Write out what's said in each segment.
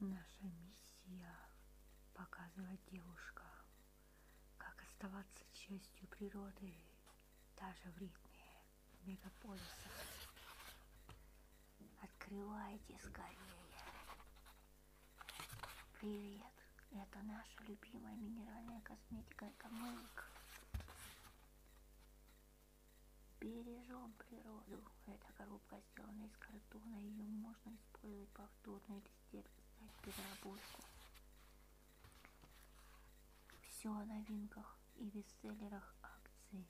Наша миссия – показывать девушкам, как оставаться частью природы даже в ритме мегаполиса. Открывайте скорее. Привет, это наша любимая минеральная косметика Экомейк. Бережем природу. Эта коробка сделана из картона, ее можно использовать повторно или стерпеть переработку. Все о новинках и бестселлерах акции,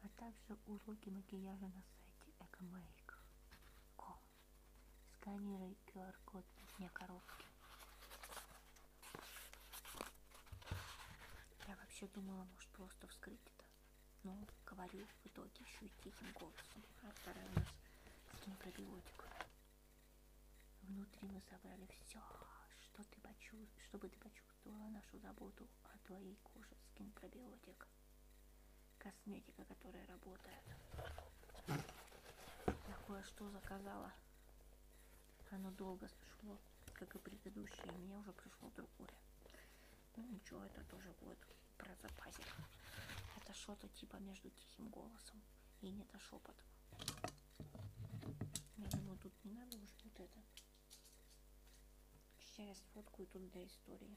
а также уроки макияжа на сайте ecomake.com. Сканируй QR-код на дне коробки. Я вообще думала, может, просто вскрыть это. Но говорю в итоге еще и тихим голосом. А вторая у нас скин пробиотик. Внутри мы собрали все, что ты почувств... чтобы ты почувствовала нашу заботу о твоей коже. Скин пробиотик. Косметика, которая работает. Я кое-что заказала. Оно долго сошло, как и предыдущее. И мне уже пришло другое. Ну ничего, это тоже будет про запасик. Это что-то типа между тихим голосом и не до шепотом. Я думаю, тут не надо уже вот это. Сейчас фотку и тут для истории.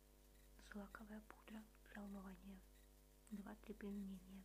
злаковая пудра для умывания. Два-три применения.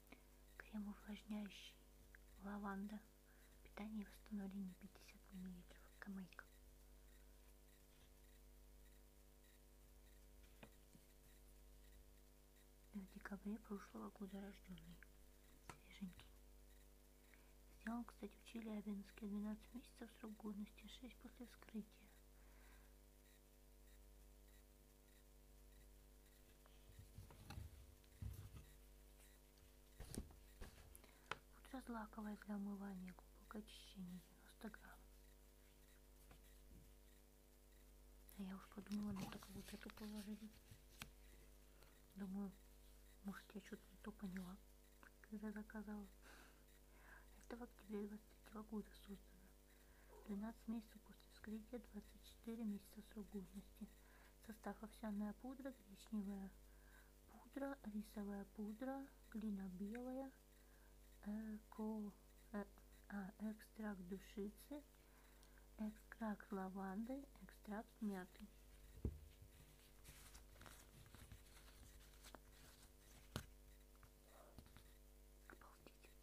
крем увлажняющий лаванда питание и восстановление 50 мл камейка в декабре прошлого года рожденный свеженький взял кстати в Челябинске 12 месяцев срок годности 6 после вскрытия Сейчас лаковое для умывания, глубокое очищение, 90 грамм. А я уж подумала, ну так вот эту положили. Думаю, может я что-то не то поняла, когда заказала. Это в октябре 23 года создано. 12 месяцев запустишь кредит 24 месяца срок годности. Состав овсяная пудра, гречневая пудра, рисовая пудра, глина белая, эко, э, а, экстракт душицы, экстракт лаванды, экстракт мяты. Обалдеть.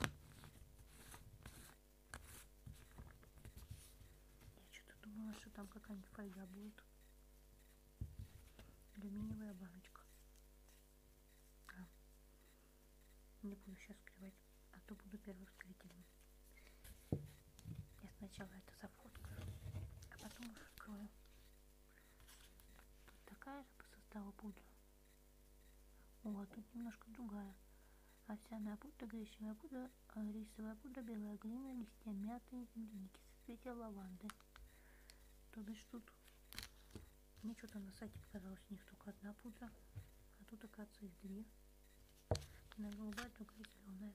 Я что-то думала, что там какая-нибудь фольга будет. Алюминиевая баночка. А. Не буду сейчас скрывать, а то буду первым зрителем. Я сначала это зафоткаю, а потом уже открою. Тут такая же по составу пудра. О, тут немножко другая. Овсяная пудра, гречневая пудра, э, рисовая пудра, белая глина, листья мяты и земляники, соцветия лаванды. То бишь тут мне что-то на сайте показалось, у них только одна пудра, а тут, оказывается, их две. Одна голубая, другая зеленая.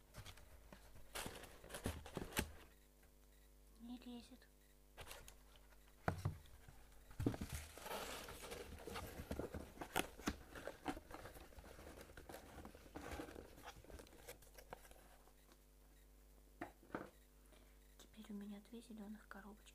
Не лезет. Теперь у меня две зеленых коробочки.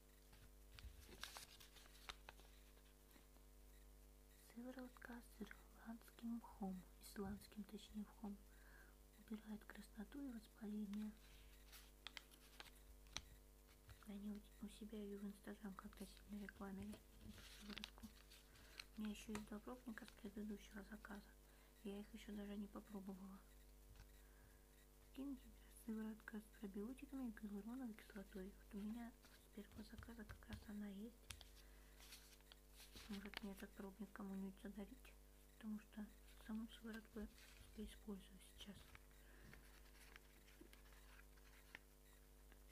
Сыворотка с ирландским мхом, исландским точнее мхом, убирает красноту и воспаление. Они у себя ее в Инстаграм как-то сильно рекламили, сыворотку. У меня еще есть два пробника с предыдущего заказа. Я их еще даже не попробовала. Кинзер, сыворотка с пробиотиками и гиалуроновой кислотой. Вот у меня с первого заказа как раз она есть. Может мне этот пробник кому-нибудь задарить, потому что саму сыворотку я использую сейчас.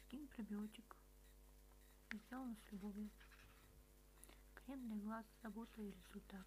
Скин пробиотик. Сделано с любовью. Крем для глаз, забота и результат.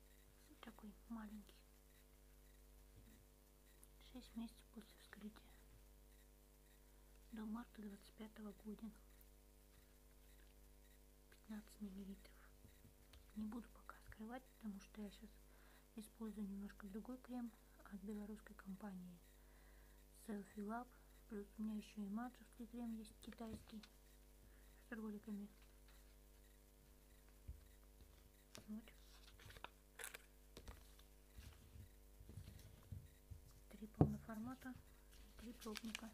такой маленький. 6 месяцев после вскрытия. До марта 25 -го года. 15 миллилитров. Не буду пока скрывать, потому что я сейчас использую немножко другой крем от белорусской компании Selfie Lab. Плюс у меня еще и матчевский крем есть китайский с роликами. Вот. Три полноформата, три пробника.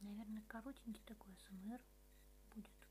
Наверное, коротенький такой СМР будет.